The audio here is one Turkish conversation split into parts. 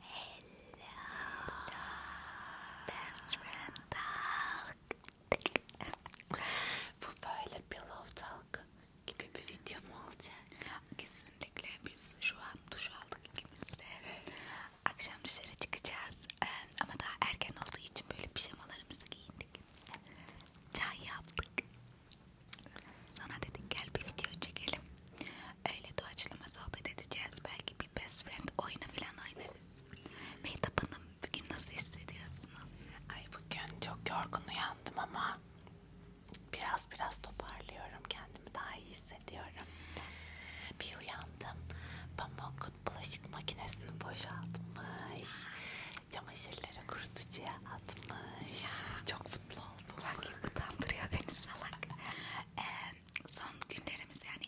Hello, best friend talk. Bu böyle pillow talk gibi bir video mu olacak? Kesinlikle biz şu an duş aldık ikimiz de. Akşam dışarı çıkacağız ama daha erken olduğu için böyle pijamalarımızı giyindik. Çay yaptık. Sana dedik gel bir video çekelim. Öyle doğaçlama sohbet edeceğiz. Belki bir best friend oyunu falan oynarız. Mehtap Hanım bugün nasıl hissediyorsunuz? Ay bugün çok yorgun uyandım ama biraz biraz toparlıyorum. Kendimi daha iyi hissediyorum. Bir uyandım. Pamuk bulaşık makinesini boşaltmış. Çamaşırları kurutucuya atmış. Ya. Çok mutlu oldum. Bak utandırıyor beni salak. Ee, son günlerimiz yani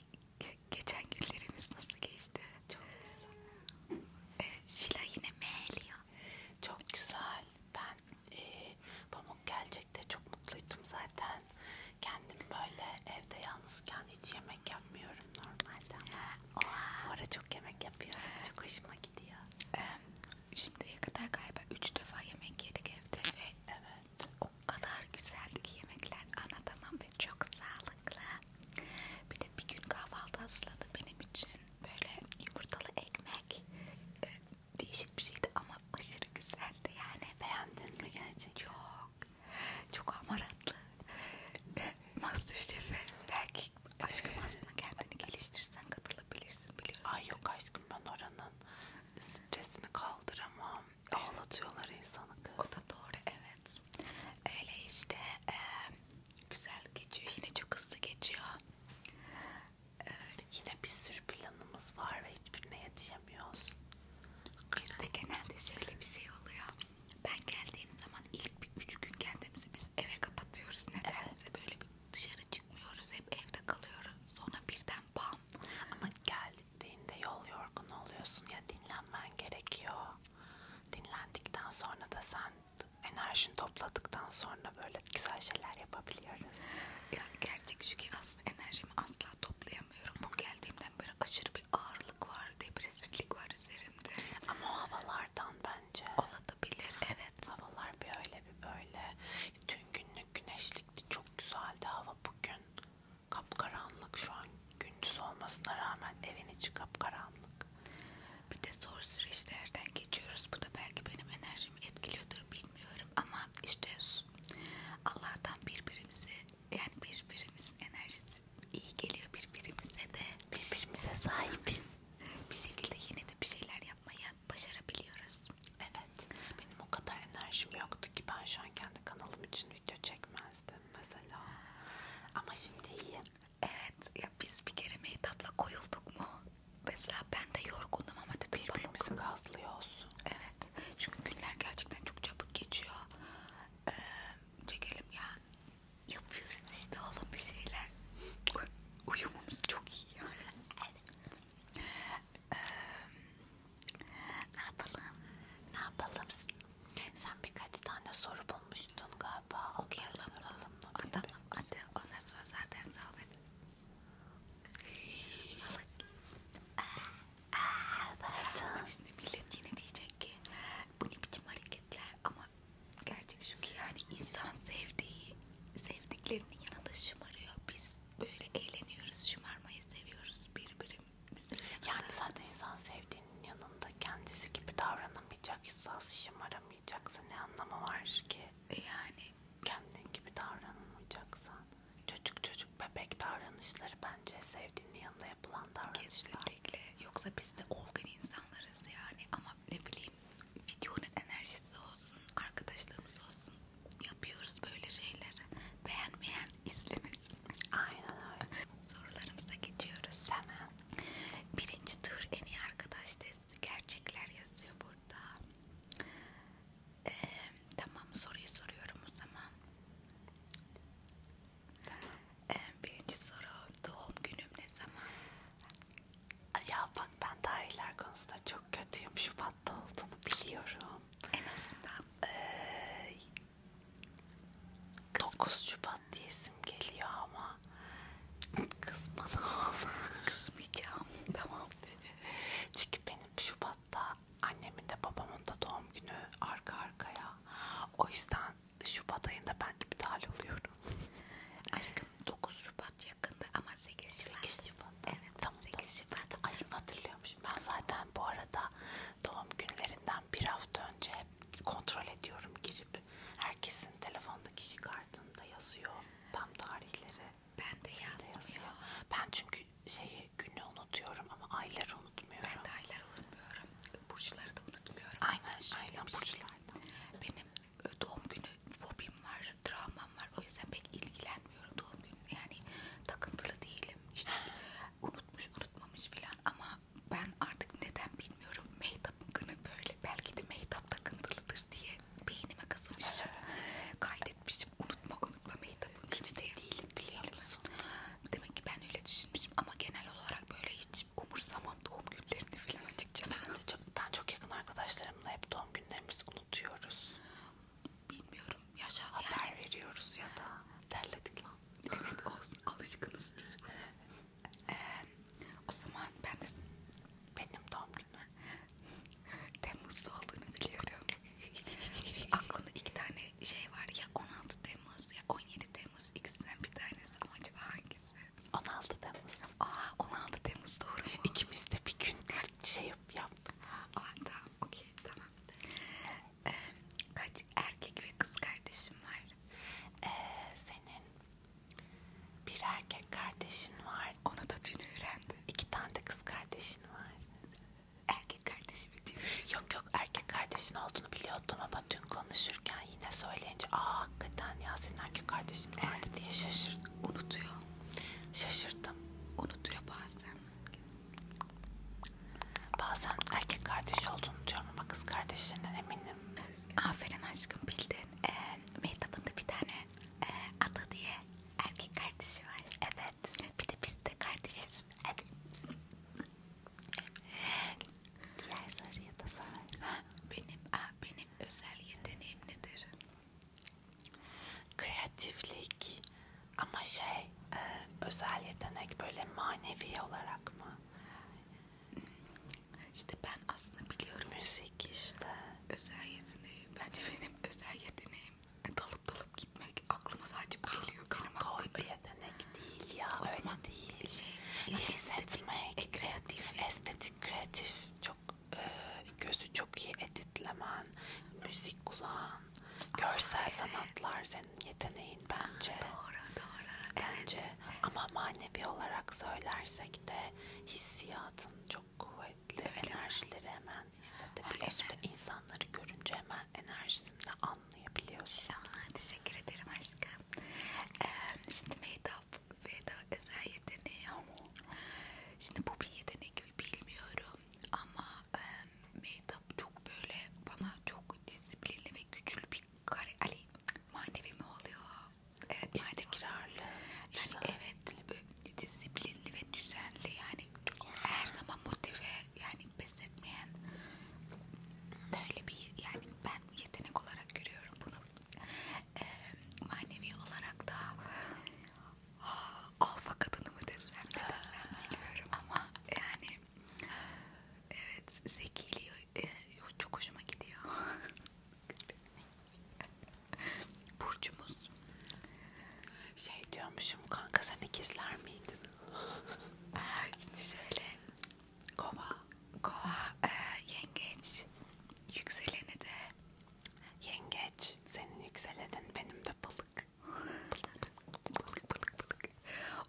geçen günlerimiz nasıl geçti? Çok güzel. Ee, Şila yine meyliyor. Çok güzel. Ben e, pamuk gelecek de çok mutluydum zaten. Kendim böyle evde yalnızken hiç yemek yapmıyorum normalde ama. Oha. Bu ara çok yemek yapıyorum. Çok hoşuma gidiyor. Ee, şimdiye kadar galiba üç defa yemek yedik evde ve evet. o kadar güzeldi ki yemekler anlatamam ve çok sağlıklı. Bir de bir gün kahvaltı hazırladı benim için böyle yumurtalı ekmek ee, değişik bir şeydi ama aşırı güzeldi yani. Beğendin mi gerçekten? Yok. Çok amaratlı. Masterchef'e belki aşkım ee, aslında kendini geliştirsen katılabilirsin biliyorsun. Ay yok aşkım ben oranın stresini kaldıramam. Ağlatıyorlar insanı kız. O da doğru evet. Öyle işte e, güzel geçiyor. Yine çok hızlı geçiyor. E, yine bir sürü planımız var ve hiçbirine yetişemiyoruz. Bizde genelde şöyle bir şey oluyor. Ben geldiğim zaman ilk bir üç gün kendimizi biz eve kapatıyoruz. Nedense evet. böyle bir dışarı çıkmıyoruz hep evde kalıyoruz sonra birden bam ama geldiğinde yol yorgun oluyorsun ya dinlenmen gerekiyor dinlendikten sonra da sen enerjini topladıktan sonra böyle güzel şeyler yapabiliyoruz ya gerçek şu ki aslında enerjimi asla toplayamıyorum bu geldiğimden beri aşırı bir ağırlık var depresiflik var üzerimde ama o havalardan bence olabilir evet havalar bir öyle bir böyle Dün günlük güneşlikti. Çok güzeldi hava bugün. Kapkaranlık şu an gündüz olmasına rağmen evin içi kapkaranlık. Bir de zor süreçlerden geçiyoruz. Bu da belki benim enerjimi etkiliyordur bilmiyorum ama işte Allah'tan birbirimize yani birbirimizin enerjisi iyi geliyor birbirimize de birbirimize sahibiz. Bir şekilde yine de bir şeyler yapmaya başarabiliyoruz. Evet. Benim o kadar enerjim yoktu ki ben şu an kendi kanalım için video çekmezdim mesela. Ama şimdi iyi. Evet. Ya biz bir kere mehtapla koyulduk mu? Mesela ben de yorgundum ama dedim Birbirimizi gazlıyoruz. Evet. Çünkü günler gerçekten çok çabuk geçiyor. Ee, çekelim ya. Yapıyoruz işte oğlum bir şeyler. Uyumumuz çok iyi yani. Evet. Ee, ne yapalım? Ne yapalım? Sen birkaç tane soru bulmuştun galiba. Okuyalım mı? Tamam hadi ondan sonra zaten sohbet. Salık. Pardon. Şimdi millet yine diyecek ki bu ne biçim hareketler ama gerçek şu ki yani insan sevdiği sevdiklerinin yanında şımarıyor. Biz böyle eğleniyoruz, şımarmayı seviyoruz birbirimize. Yani zaten insan sevdiğinin yanında kendisi gibi davranamayacaksa, şımaramayacaksa ne anlamı var ki? E yani kendin gibi davranılmayacaksa. Çocuk çocuk bebek davranışları bence sevdiğinin yanında yapılan davranışlar. Kesinlikle. Yoksa biz de olgun insanlarız yani ama ne bileyim diyeyim. Videonun enerjisi olsun, arkadaşlığımız olsun. Yapıyoruz böyle şeyleri. Beğenmeyen izlemesin. Aynen öyle. Sorularımıza geçiyoruz. Tamam. Birinci tur en iyi arkadaş testi. Gerçekler yazıyor burada. Ee, tamam soruyu soruyorum o zaman. Tamam. Ee, birinci soru doğum günüm ne zaman? Ya bak ben tarihler konusunda çok kötüyüm. Şubat'ta olduğunu biliyorum. En azından. Ee, 9 Şubat diyesim geliyor ama kızma ne olur. Kızmayacağım. tamam. Çünkü benim Şubat'ta annemin de babamın da doğum günü arka arkaya. O yüzden Şubat ayında ben iptal oluyorum. Aşkım 9 Şubat ya yakında ama 8 Şubat. 8 Şubat. Evet tamam, 8 tamam. Şubat. Ay hatırlıyormuşum. Ben zaten bu arada doğum günlerinden bir hafta önce hep kontrol ediyorum girip. Herkesin telefonda kişi kartında yazıyor tam tarihleri. Ben de yazmıyorum. Ben çünkü şeyi günü unutuyorum ama ayları unutmuyorum. Ben de ayları unutmuyorum. Burçları da unutmuyorum. Aynen, aynen şey. burçlardan. Benim doğum günü fobim var, travmam var. O yüzden pek ilgilenmiyorum doğum günü. Yani takıntılı değilim. İşte unutmuş, unutmamış filan ama ben artık neden bilmiyorum. Mehtap'ın günü böyle. Belki de Mehtap takıntılıdır diye beynime kazımışım. Kaydetmişim. Unutma, unutma Mehtap'ın günü diye. Değilim, değilim. Demek ki ben öyle düşünmüşüm ama genel olarak böyle hiç umursamam doğum günlerini filan gittikçe. Ben, de çok, ben çok yakın arkadaşlarımla hep doğum günlerimizi unutuyoruz. Bilmiyorum. Yaşa haber yani. veriyoruz ya da terledik lan. Evet olsun alışkınız biz. ee, o zaman ben de benim doğum günüm Temmuz'da olduğunu biliyorum. Aklımda iki tane şey var ya 16 Temmuz ya 17 Temmuz ikisinden bir tanesi ama acaba hangisi? 16 Temmuz. Aa ah, 16 Temmuz doğru mu? İkimiz de bir gün şey yap, yaptık. Aa ah, tamam okey tamam. Ee, kaç erkek ve kız kardeşim var? Ee, senin bir erkek kardeşin var. Onu da dün öğrendim. İki tane de kız kardeşin var. Erkek kardeşimi dün. Yok yok erkek kardeşin olduğunu biliyordum ama dün konuşurken ben yine söyleyince aa hakikaten ya senin erkek kardeşin vardı evet. diye şaşırdım. Unutuyor. Şaşırdım. Unutuyor bazen. Bazen erkek kardeş olduğunu diyorum ama kız kardeşlerinden eminim. Aferin aşkım bildin. E, Mehtap'ın da bir tane e, Ada diye erkek kardeşi var. Evet. Bir de biz de kardeşiz. Evet. Diğer soruya da sor. Benim, a, benim benim özel yeteneğim nedir? Kreatiflik ama şey e, özel yetenek böyle manevi olarak mı? İşte ben aslında biliyorum. Müzik işte. Özel yeteneği. Bence benim özel yeteneğim e, dalıp dalıp gitmek. Aklıma sadece bu geliyor. Kanka o yetenek değil ya. O zaman değil. Şey, hissetmek. E, kreatif. Estetik kreatif çok e, gözü çok iyi editlemen, müzik kulağın, görsel Ay. sanatlar senin yeteneğin bence. Doğru, doğru. Bence evet. ama manevi olarak söylersek de hissiyatın çok kuvvetli. Evet. Enerjileri hemen hissedebiliyorsun. Evet. İnsanları görünce hemen enerjisini anlayabiliyorsun. Aman teşekkür ederim aşkım. Ee, şimdi Meyda Veda özel yeteneği ama şimdi bu bir yetenek mi bilmiyorum ama e, Mehtap çok böyle bana çok disiplinli ve güçlü bir kare Ali manevi mi oluyor? Evet istikrarlı. Yani evet böyle disiplinli ve düzenli yani her zaman motive yani pes etmeyen böyle bir yani ben yetenek olarak görüyorum bunu e, manevi olarak da alfa kadını mı desem ne desem bilmiyorum ama yani evet zekiliyor e, çok hoşuma gidiyor burcumuz şey diyormuşum kanka sen ikizler miydin? Şimdi şöyle Kova, kova, e, yengeç, yükseleni de yengeç. Senin yükselenin benim de balık. balık, balık, balık.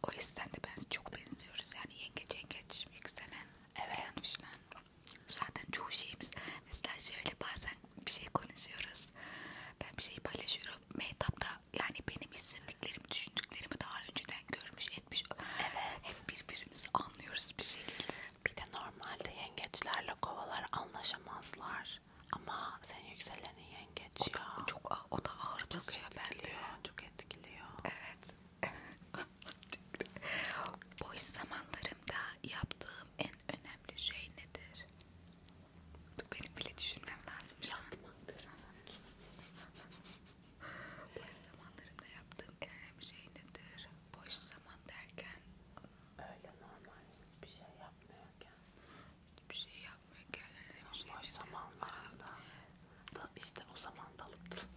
O yüzden de ben çok benziyoruz yani yengeç, yengeç, yükselen. Evet. Falan. Zaten çoğu şeyimiz mesela şöyle bazen bir şey konuşuyoruz. Ben bir şey paylaşıyorum. Mehtap da yani benim hissettiklerimi, düşündüklerimi daha önceden görmüş etmiş. Evet. Hep birbirimizi anlıyoruz bir şekilde. Bir de normalde yengeçlerle kovalar anlaşamazlar. Ama senin yükselenin yengeç o ya. Da, çok, o da ağır çok basıyor bende. Çok etkiliyor. Evet. Boş zamanlarımda yaptığım en önemli şey nedir? Benim bile düşünmem lazım. Yatmak. Boş zamanlarımda yaptığım en önemli şey nedir? Boş zaman derken öyle normal bir şey yapmıyorken hiçbir şey yapmıyorken önemli şey boş zamanlarında da işte o zaman dalıp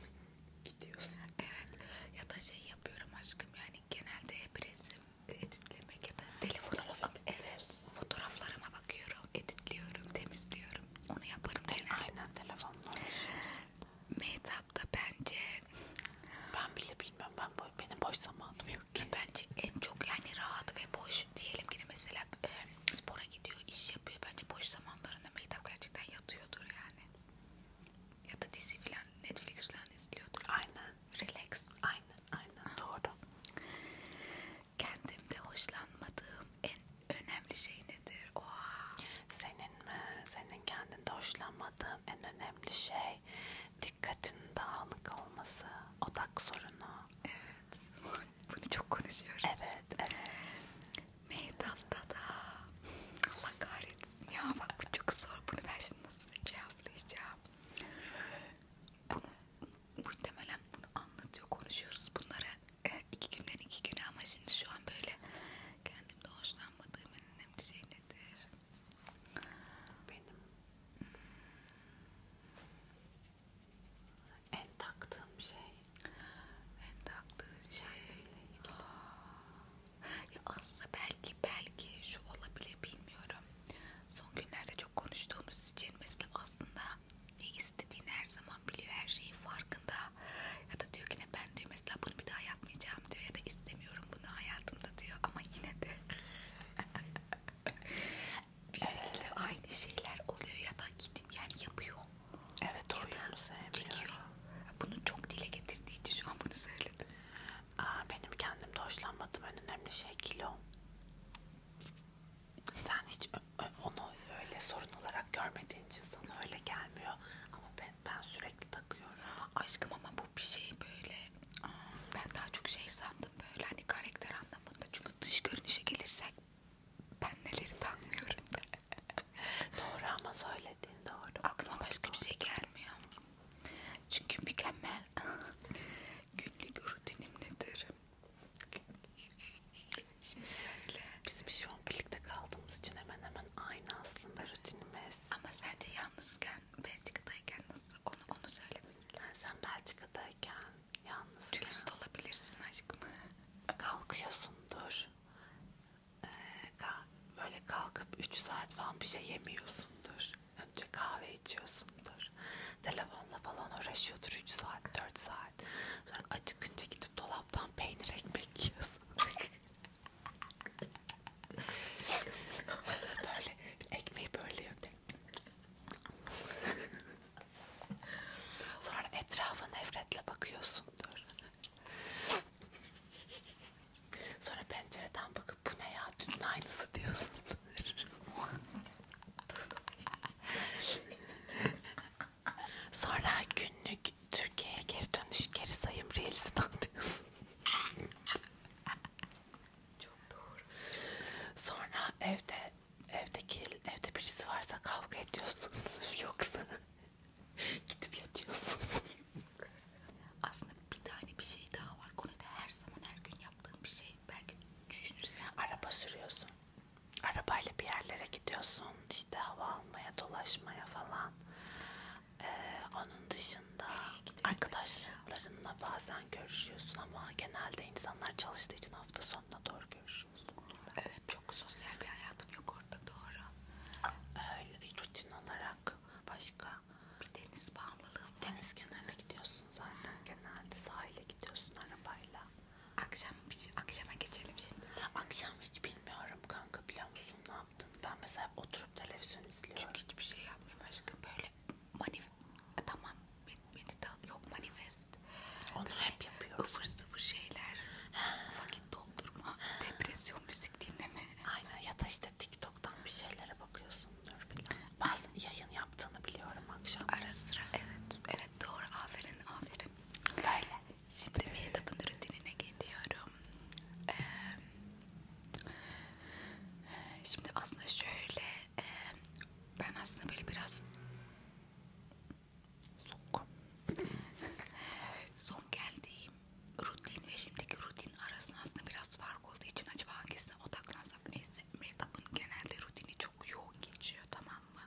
gidiyorsun. Evet ya da şey yapıyorum aşkım yani genelde hep resim editlemek ya da telefonuma bak evet fotoğraflarıma bakıyorum editliyorum temizliyorum onu yaparım genelde. Aynen telefonla Mehtap da bence ben bile bilmem ben bo benim boş zamanım yok ki. Bence en çok yani rahat ve boş diyelim ki mesela e, spora gidiyor, iş yapıyor. Bence boş zamanlarında Mehtap gerçekten yatıyordur yani. Ya da dizi filan Netflix filan izliyordur. Aynen. Relax. Aynen aynen. Doğru. Kendimde hoşlanmadığım en önemli şey nedir? Oha. Senin mi? Senin kendinde hoşlanmadığın en önemli şey dikkatin dağınık olması, odak sorunu. Evet. Bunu çok konuşuyoruz. Evet, evet. Mehtap'ta da Allah kahretsin ya bak bu çok zor. Bunu ben şimdi nasıl cevaplayacağım? Bunu muhtemelen bunu anlatıyor, konuşuyoruz bunları. iki günden iki güne ama şimdi şu an böyle kendimde hoşlanmadığım en önemli şey nedir? Benim hmm. en taktığım şey en taktığım şey ya aslında belki belki şu olabilir bilmiyorum son günlerde çok konuştuğumuz için mesela aslında ne istediğini her zaman biliyor, her şeyi farkında. Ya da diyor ki ne ben diyor mesela bunu bir daha yapmayacağım diyor ya da istemiyorum bunu hayatımda diyor ama yine de bir şekilde aynı şeyler oluyor ya da gidip yani yapıyor. Evet doğru. Ya da çekiyor. Bunu çok dile getirdiği için şu an bunu söyledim. Aa, benim kendimde hoşlanmadığım en önemli şey kilo. Sen hiç onu öyle sorun olarak görmediğin için sana öyle gelmiyor. Ama ben ben sürekli takıyorum. Aşkım ama bu bir şey böyle. Ben daha çok şey sandım böyle hani karakter anlamında. Çünkü dış görünüşe gelirsek ben neleri takmıyorum da. doğru ama söylediğin doğru. Aklıma doğru, başka doğru. bir şey gelmiyor. Çünkü mükemmel günlük rutinim nedir? Şimdi şöyle. Bizim şu an birlikte kaldığımız için hemen hemen aynı aslında rutinimiz. Ama sen de yalnızken Belçika'dayken nasıl onu onu söylemesin. Yani sen Belçika'dayken yalnız. Dürüst olabilirsin aşkım. Kalkıyorsundur. Ee, kal böyle kalkıp 3 saat falan bir şey yemiyorsundur. Önce kahve içiyorsundur. Telefonla falan uğraşıyordur 3 saat 4 saat. Sonra acıkınca gidip dolan dolaptan peynir ekmek yiyorsun. böyle ekmeği böyle yok Sonra etrafa nefretle bakıyorsun dur. Sonra pencereden bakıp bu ne ya dün aynısı diyorsun. Sonra günlük Türkiye'ye geri dönüş geri sayım reelsini atıyorsun. Çok doğru. Sonra evde evdeki evde birisi varsa kavga ediyorsunuz yoksa gidip yatıyorsunuz. Aslında bir tane bir şey daha var. Konuda her zaman her gün yaptığım bir şey. Belki düşünürsen araba sürüyorsun arabayla bir yerlere gidiyorsun işte hava almaya dolaşmaya falan ee, onun dışında arkadaşlarınla bazen görüşüyorsun ama genelde insanlar çalıştığı için hafta sonuna doğru görüşüyorsun evet çok sosyal bir hayatım yok orada doğru öyle rutin olarak başka bir deniz bağımlılığı deniz kenarına gidiyorsun zaten genelde sahile gidiyorsun arabayla Akşam şey, akşama geçelim şimdi. Akşam hiç bilmiyorum kanka biliyor musun ne yaptın? Ben mesela oturup televizyon izliyorum. Çünkü hiçbir şey yapmıyorum aşkım böyle manif e, tamam medital yok manifest. Onu böyle hep yapıyoruz. Ufur sıfır şeyler. Vakit doldurma, depresyon müzik dinleme. Aynen ya da işte TikTok'tan bir şeylere bakıyorsundur falan. Bazen yayın yaptığını biliyorum akşam. Ara sıra evet. Evet doğru aferin aferin. Böyle. Şimdi makeup'ın rutinine geliyorum. Ee, şimdi aslında şöyle, e, ben aslında böyle biraz son, son geldiğim rutin ve şimdiki rutin arasında aslında biraz fark olduğu için acaba hangisine odaklansam neyse makeup'ın genelde rutini çok yoğun geçiyor tamam mı?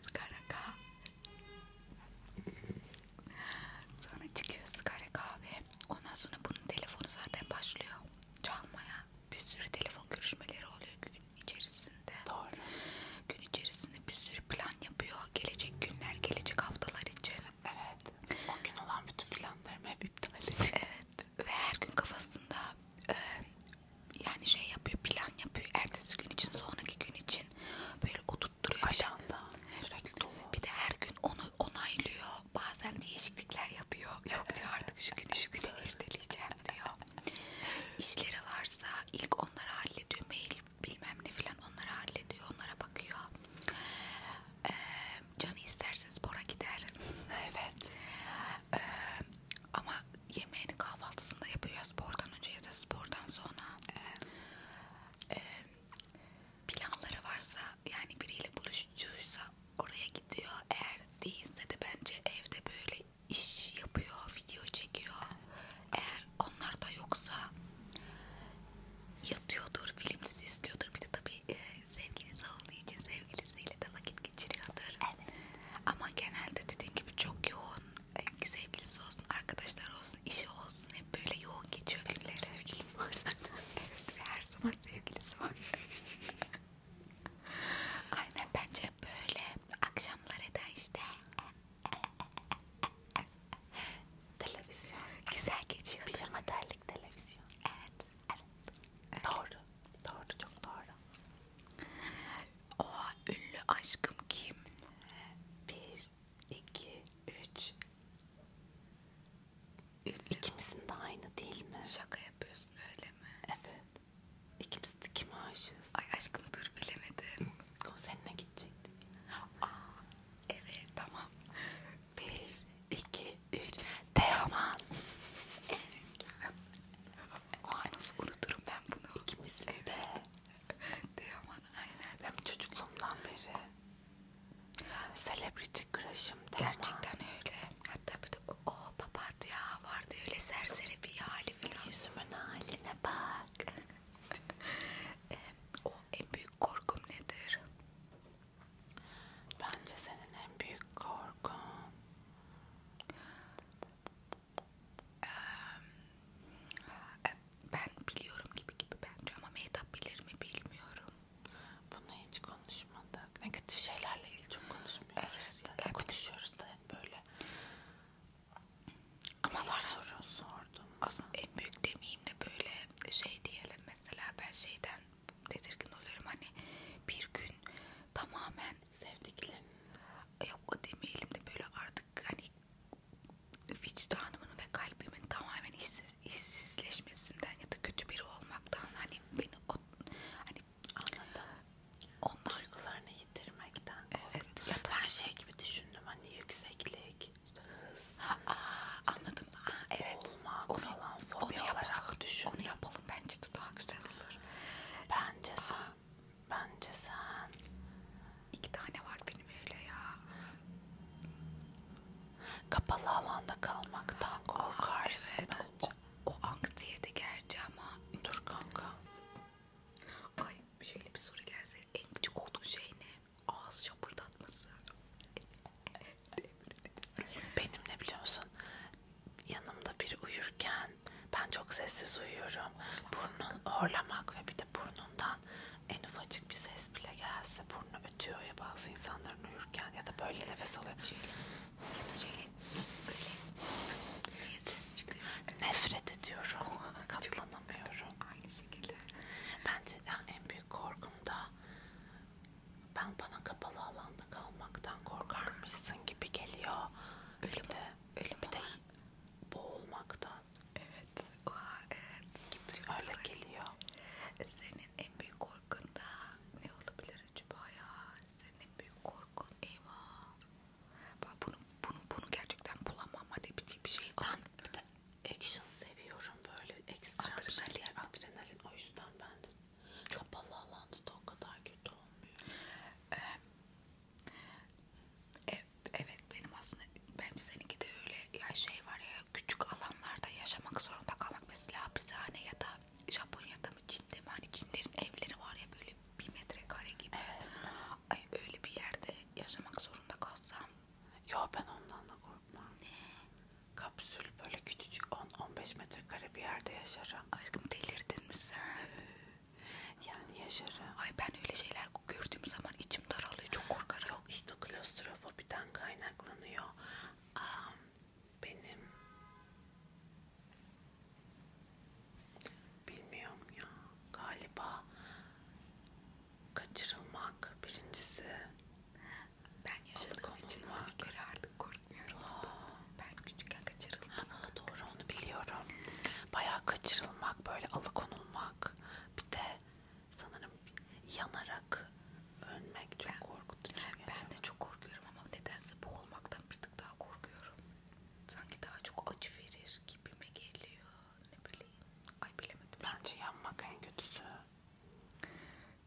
Sigara Sonra çıkıyor sigara kahve. Ondan sonra bunun telefonu zaten başlıyor çalmaya. Bir sürü telefon görüşmeleri oluyor gün içerisinde. Doğru. Gün içerisinde bir sürü plan yapıyor. Gelecek günler, gelecek haftalar için. Evet. O gün olan bütün planlarım hep iptal edildi. Evet. Ve her gün kafasında e, yani şey yapıyor, plan yapıyor. Ertesi gün için, sonraki gün için için böyle oturtturuyor. Ajanda. Sürekli dolu. Bir de her gün onu onaylıyor. Bazen değişiklikler yapıyor. Yok diyor artık şu günü şu güne erteleyeceğim diyor. İşleri varsa ilk onları hallediyor. Mail bilmem ne filan onları hallediyor. Onlara bakıyor. Ee, canı isterse spora gider. evet. Ee, ama yemeğini kahvaltısında yapıyor ya spordan önce ya da spordan sonra. Evet. Ee, planları varsa yani biriyle buluşucuysa oraya gidiyor. Eğer değilse de bence evde böyle iş yapıyor, video çekiyor. Eğer onlar da yoksa yatıyordur, film dizi izliyordur. Bir de tabii e, sevgilisi olduğu için sevgilisiyle de vakit geçiriyordur. Evet. Ama genelde dediğim gibi çok yoğun sevgilisi olsun, arkadaşlar olsun, işi olsun hep böyle yoğun geçiyor günler. Sevgilim var zaten. evet, her zaman sevgilisi var. Aynen bence böyle akşamları da işte televizyon güzel geçiyor. Pijama terlik televizyon. Evet, evet. evet. Doğru. Doğru, çok doğru. Oha ünlü aşkım kim? Bir, iki, üç. Ünlü. İkimizin de aynı değil mi? Şaka yapıyorsun öyle mi? Evet. İkimiz de kime aşığız? Ay aşkım dur bilemedim. O seninle gidecektik. Aa, evet tamam. Bir, iki, üç. Teoman. Evet. O an unuturum ben bunu. İkimiz evet. de diyor bana aynen. Ben çocukluğumdan beri celebrity crush'ım Gerçekten öyle. Hatta bir de o, o papatya vardı öyle serseri bir hali filan. Yüzümün haline bak. e, o en büyük korkum nedir? Bence senin en büyük korkun ee, ben biliyorum gibi gibi bence ama Mehtap bilir mi bilmiyorum. Bunu hiç konuşmadık. Negatif şeylerle ilgili çok konuşmuyoruz. Evet, yani. evet. Konuşuyoruz da böyle. Ama var soru sordum. Aslında en büyük demeyeyim de böyle şey diyelim mesela ben şeyden tedirgin oluyorum hani bir gün tamamen Sevdiklerin. Yok demeyelim de böyle artık hani vicdanımın ve kalbimin tamamen işsiz, işsizleşmesinden ya da kötü biri olmaktan hani beni o, hani anladım. Onlar duygularını yitirmekten. Evet. Ya da ben şey gibi düşündüm hani yükseklik, işte hız. Aa, anladım. Aa, evet. Olmak onu, falan fobi onu olarak yapalım, düşün. Onu yapalım bence de daha güzel olur. Bence sen Bence sen. İki tane var benim öyle ya. Kapalı alanda kalmaktan ah, korkarsın Aa, evet, bence. O, o anksiyete gerçi ama. Dur kanka. Ay şöyle bir soru gelse en küçük olduğun şey ne? Ağız şapırdatması. Benim ne biliyor musun? yanımda biri uyurken ben çok sessiz uyuyorum. Burnun horlamak ve bir de burnundan en ufacık bir ses bile gelse burnu ötüyor ya bazı insanların uyurken ya da böyle nefes alıyor. Nefret ediyorum. Katlanamıyorum. Aynı şekilde. Bence en büyük korkum da ben bana kapalı alanda kalmaktan korkarmışsın gibi geliyor. Öyle de Ölümü de boğulmaktan. Evet. Oha, evet. Gibi öyle geliyor. E, senin en büyük korkun da ne olabilir acaba ya? Senin en büyük korkun eyvah. Bak bunu bunu bunu gerçekten bulamam hadi bir, bir şeyden. Bir de action seviyorum böyle ekstra adrenalin. adrenalin o yüzden ben de kapalı alanda da o kadar kötü olmuyor. Ee, Evet benim aslında bence seninki de öyle ya şey var ya küçük alanlarda yaşamak zorunda kalmak mesela hapishane ya da Japonya'da mı Çin'de mi hani Çinlerin evleri var ya böyle bir metrekare gibi evet. ay öyle bir yerde yaşamak zorunda kalsam yo ben ondan da korkmam ne kapsül böyle küçücük 10-15 metrekare bir yerde yaşarım aşkım delirdin mi sen evet. Yani yaşarım. Ay ben öyle şeyler gördüğüm zaman içim daralıyor. Çok korkarım. Yok işte klostrofobiden kaynaklanıyor. Aa, benim bilmiyorum ya galiba kaçırılmak birincisi ben yaşadığım için artık bakmıyorum. Aa. Ben küçükken kaçırıldım. Ha, doğru onu biliyorum. Bayağı kaçırılmak, böyle alıkonulmak. Bir de sanırım yanarak ölmek çok ben, korkutucu. Şey ben yani. de çok korkuyorum ama nedense boğulmaktan bir tık daha korkuyorum. Sanki daha çok acı verir gibime geliyor. Ne bileyim. Ay bilemedim. Bence şimdi. yanmak en kötüsü.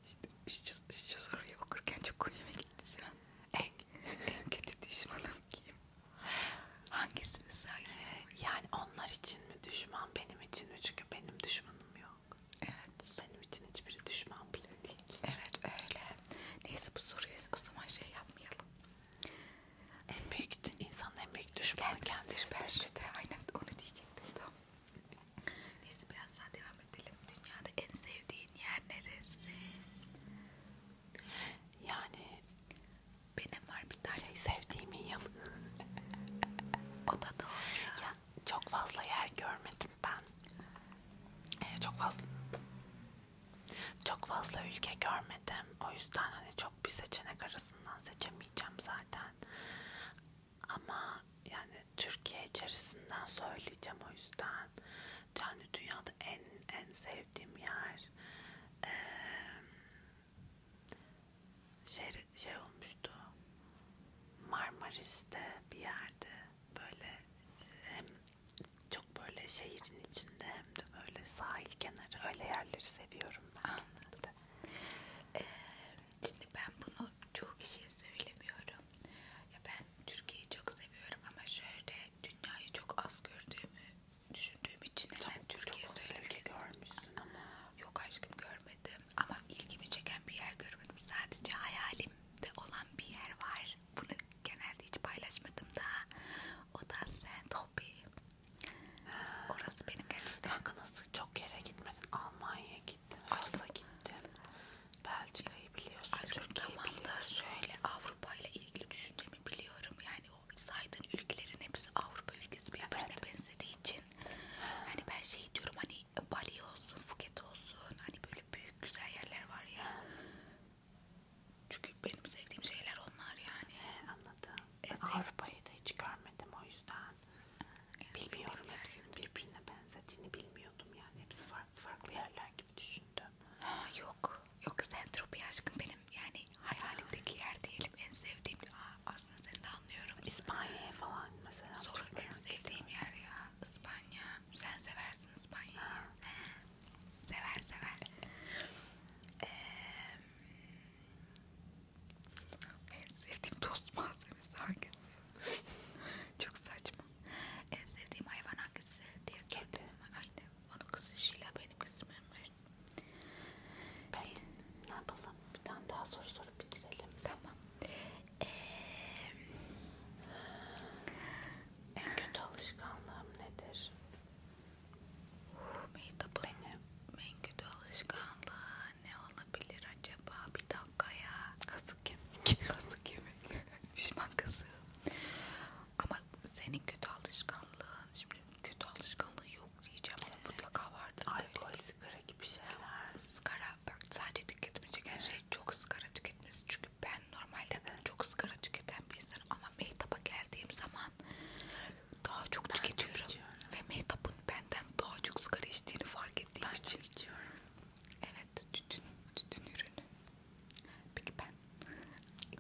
İşte şu, şu soruyu okurken çok komiğime şey. gitti. En en kötü düşmanım kim? Hangisini söyle? Yani onlar için mi düşman benim için mi? Çünkü benim düşmanım yok. Evet. Benim için hiçbiri düşman bile değil. Evet öyle. Neyse bu soruyu o zaman şey yapmayalım. En büyük insanın en büyük düşmanı kendisi. kendisi. Bence de aynen onu diyecektim. Tamam. Neyse biraz daha devam devam edelim. Dünyada en sevdiğin yer neresi? Yani benim var bir tane şey sevdiğim yıl. o da doğru. Ya çok fazla yer görmedim ben. Ee, çok fazla çok fazla ülke görmedim. O yüzden hani çok bir seçenek arasından seçemeyeceğim zaten. Ama yani Türkiye içerisinden söyleyeceğim o yüzden. Yani dünyada en en sevdiğim yer ee, şey, şey olmuştu Marmaris'te bir yerde böyle hem çok böyle şehrin içinde hem de böyle sahil kenarı öyle yerleri seviyorum ben. Anladım. Ee, şimdi ben bunu çoğu kişiye söylemiyorum. Ya ben Türkiye'yi çok seviyorum ama şöyle dünyayı çok az gördüğümü düşündüğüm için hemen Türkiye söylemek görmüşsün ama yok aşkım görmedim ama ilgimi çeken bir yer görmedim. Sadece hayalimde olan bir yer var. Bunu genelde hiç paylaşmadım da. O da Saint-Tropez. Orası benim gerçekten. Kanka nasıl çok yere gitmedin? Almanya'ya gittin, Fas'a gittin. Belçika'yı biliyorsun. Ay, Türkiye'yi tamam da söyle Avrupa ile ilgili düşüncemi biliyorum. Yani o saydığın ülkelerin hepsi Avrupa ülkesi birbirine evet. benzediği için. Hani ben şey diyorum hani Bali olsun, Phuket olsun. Hani böyle büyük güzel yerler var ya. Çünkü benim sevdiğim şeyler onlar yani. He, anladım. E, Avrupa'yı da hiç görmedim o yüzden. Yani bilmiyorum hepsinin birbirine benzediğini bilmiyordum yani. Hepsi farklı farklı yerler gibi düşündüm. Ha, yok. Yok Zentropi aşkım benim yani hayalimdeki yer diyelim en sevdiğim. Aa, aslında seni de anlıyorum. İspanya'ya falan mesela. Sonra en sevdiğim yer ya İspanya. Sen seversin İspanya'yı. Sever sever. Ee, en sevdiğim tost malzemesi hangisi? Çok saçma. En sevdiğim hayvan hangisi diye sordum. Aynı. Onun kızı Şila benim kızım Emir. Ben ne yapalım? Bir tane daha soru sorup bitirelim. Tamam. Ee, en kötü alışkanlığım nedir? Benim en kötü alışkanlığı ne olabilir acaba? Bir dakika. Kankaya. Kazık kemik. Kazık kemik. Düşman kazığı. Ama senin kötü alışkanlığın, şimdi kötü alışkanlığı yok diyeceğim ama evet. mutlaka vardır. Alkol, sigara gibi şeyler. Sigara, bak sadece dikkatimi çeken evet. şey çok sigara tüketmesi. Çünkü ben normalde evet. çok sigara tüketen bir insanım ama mehtaba geldiğim zaman daha çok ben tüketiyorum. Çok ve mehtapın benden daha çok sigara içtiğini fark ettiğim ben için. Ben içiyorum. Evet tütün, tütün ürünü. Peki ben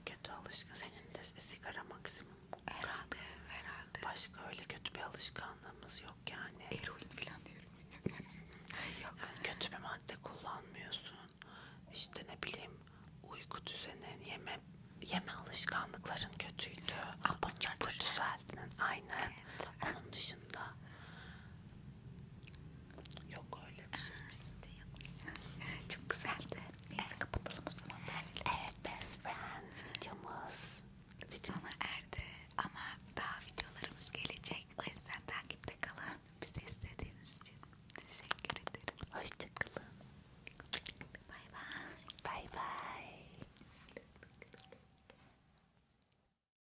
kötü alışkı senin de sigara maksimum. Herhalde, herhalde. Başka öyle kötü bir alışkanlığımız yok yani. Eroin falan diyorum. yok. Yani kötü bir madde kullanmıyorsun. İşte ne bileyim uyku düzenin, yeme yeme alışkanlıkların kötüydü. Bunları da düzelttin. Aynen. Evet. Onun dışında Yok öyle bir şey. Ee, Çok güzeldi. Neyse evet. kapatalım o zaman. Evet best friends videomuz sona erdi ama daha videolarımız gelecek. O yüzden takipte kalın. Bizi izlediğiniz için teşekkür ederim. Hoşçakalın. Bay bay. Bay bay.